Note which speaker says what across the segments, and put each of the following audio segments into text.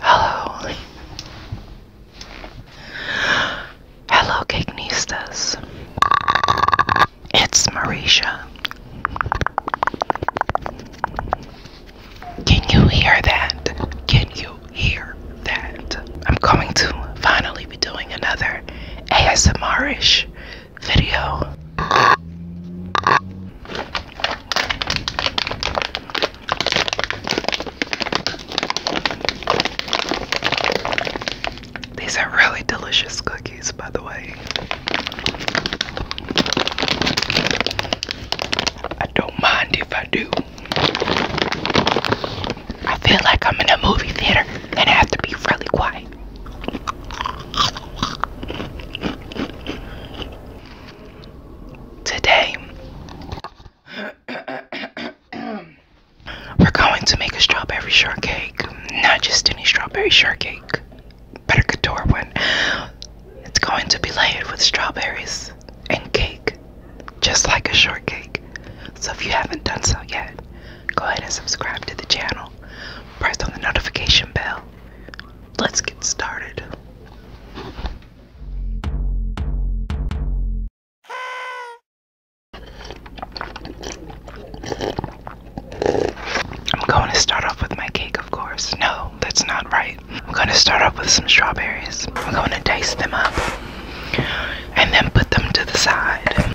Speaker 1: Hello. Hello, cake nistas. It's Marisha. Can you hear that? Can you hear that? I'm going to finally be doing another ASMRish video. These are really delicious cookies, by the way. I don't mind if I do. I feel like I'm in a movie theater and I have to be really quiet. Today, we're going to make a strawberry shortcake. Not just any strawberry shortcake, but a couture one. It's going to be layered with strawberries and cake, just like a shortcake. So if you haven't done so yet, go ahead and subscribe to the channel. Press on the notification bell. Let's get started. I'm going to start off with my cake, of course. No, that's not right. I'm going to start off with some strawberries. I'm going to dice them up and then put them to the side.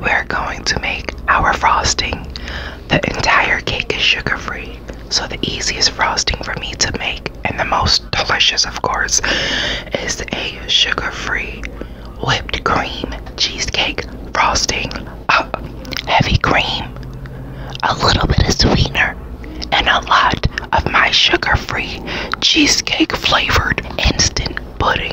Speaker 1: We're going to make our frosting. The entire cake is sugar free, so the easiest frosting for me to make and the most delicious, of course, is a sugar free whipped cream, cheesecake, frosting, heavy cream, a little bit of sweetener, and a lot of my sugar free cheesecake flavored instant pudding.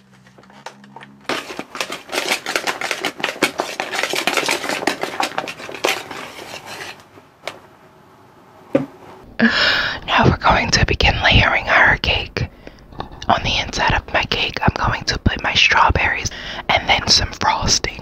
Speaker 1: Now we're going to begin layering our cake. On the inside of my cake, I'm going to put my strawberries and then some frosting.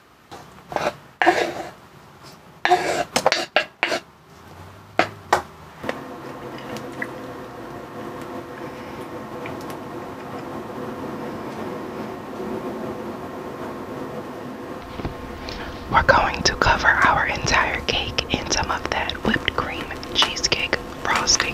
Speaker 1: We're going to cover our entire cake in some of that whipped cream cheesecake frosting.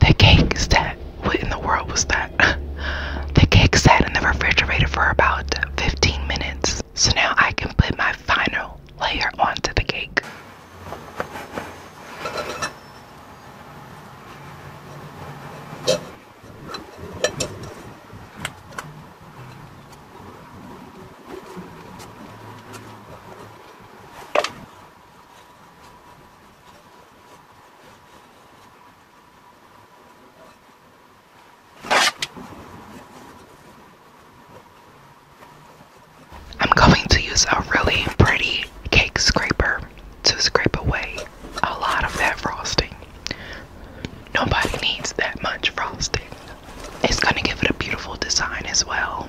Speaker 1: The cake sat. What in the world was that? the cake sat in the refrigerator for about 15 minutes. So now I can put my final layer onto the cake. I'm going to use a really pretty cake scraper to scrape away a lot of that frosting. Nobody needs that much frosting. It's gonna give it a beautiful design as well.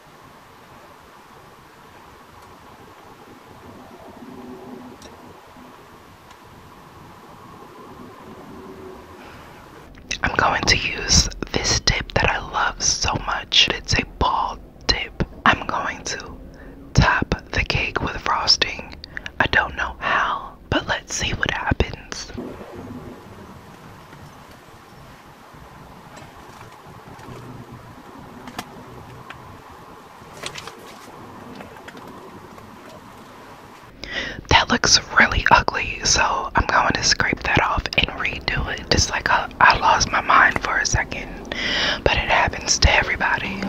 Speaker 1: I'm going to use this tip that I love so much. It's a ball tip. I'm going to top the cake with frosting. I don't know how, but let's see what happens. That looks really ugly, so I'm going to scrape that off and redo it. Just like I, lost my mind for a second, but it happens to everybody.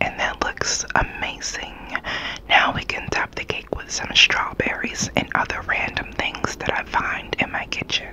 Speaker 1: And that looks amazing. Now we can top the cake with some strawberries and other random things that I find in my kitchen.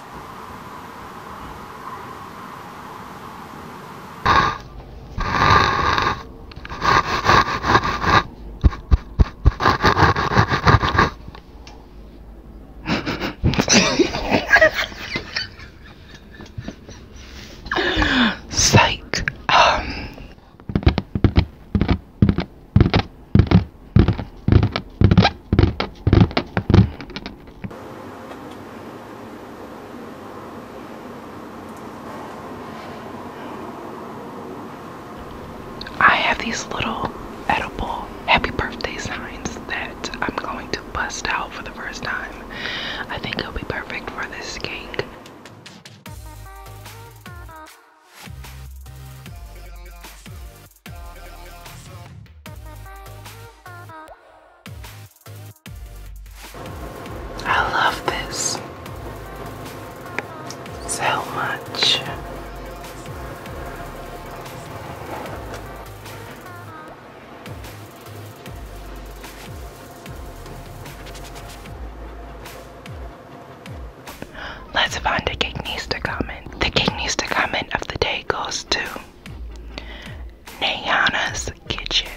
Speaker 1: Psych. Um. I have these little edible happy birthday signs that I'm going to bust out for the first time. I think it'll be perfect for this cake. I love this so much. Let's find the king comment. The king comment of the day goes to Nayana's kitchen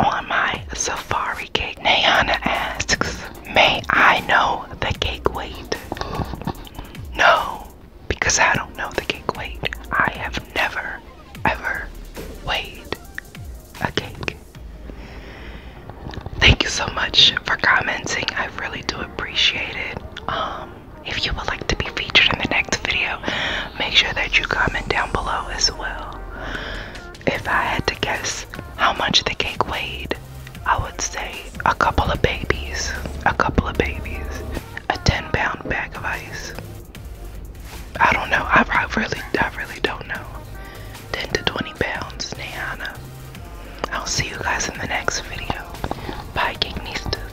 Speaker 1: on my safari cake. Nayana asks, May I know the cake weight? No, because I don't know the cake weight. I have never, ever weighed a cake. Thank you so much for commenting. I really do appreciate it. Um, if you would like to be featured in the next video, make sure that you comment down below as well. If I had to guess how much the cake weighed, I would say a couple of babies, a couple of babies, a 10 pound bag of ice. I don't know. I, really, I really don't know. 10 to 20 pounds, Nayana. I'll see you guys in the next video. Bye, King Nistas.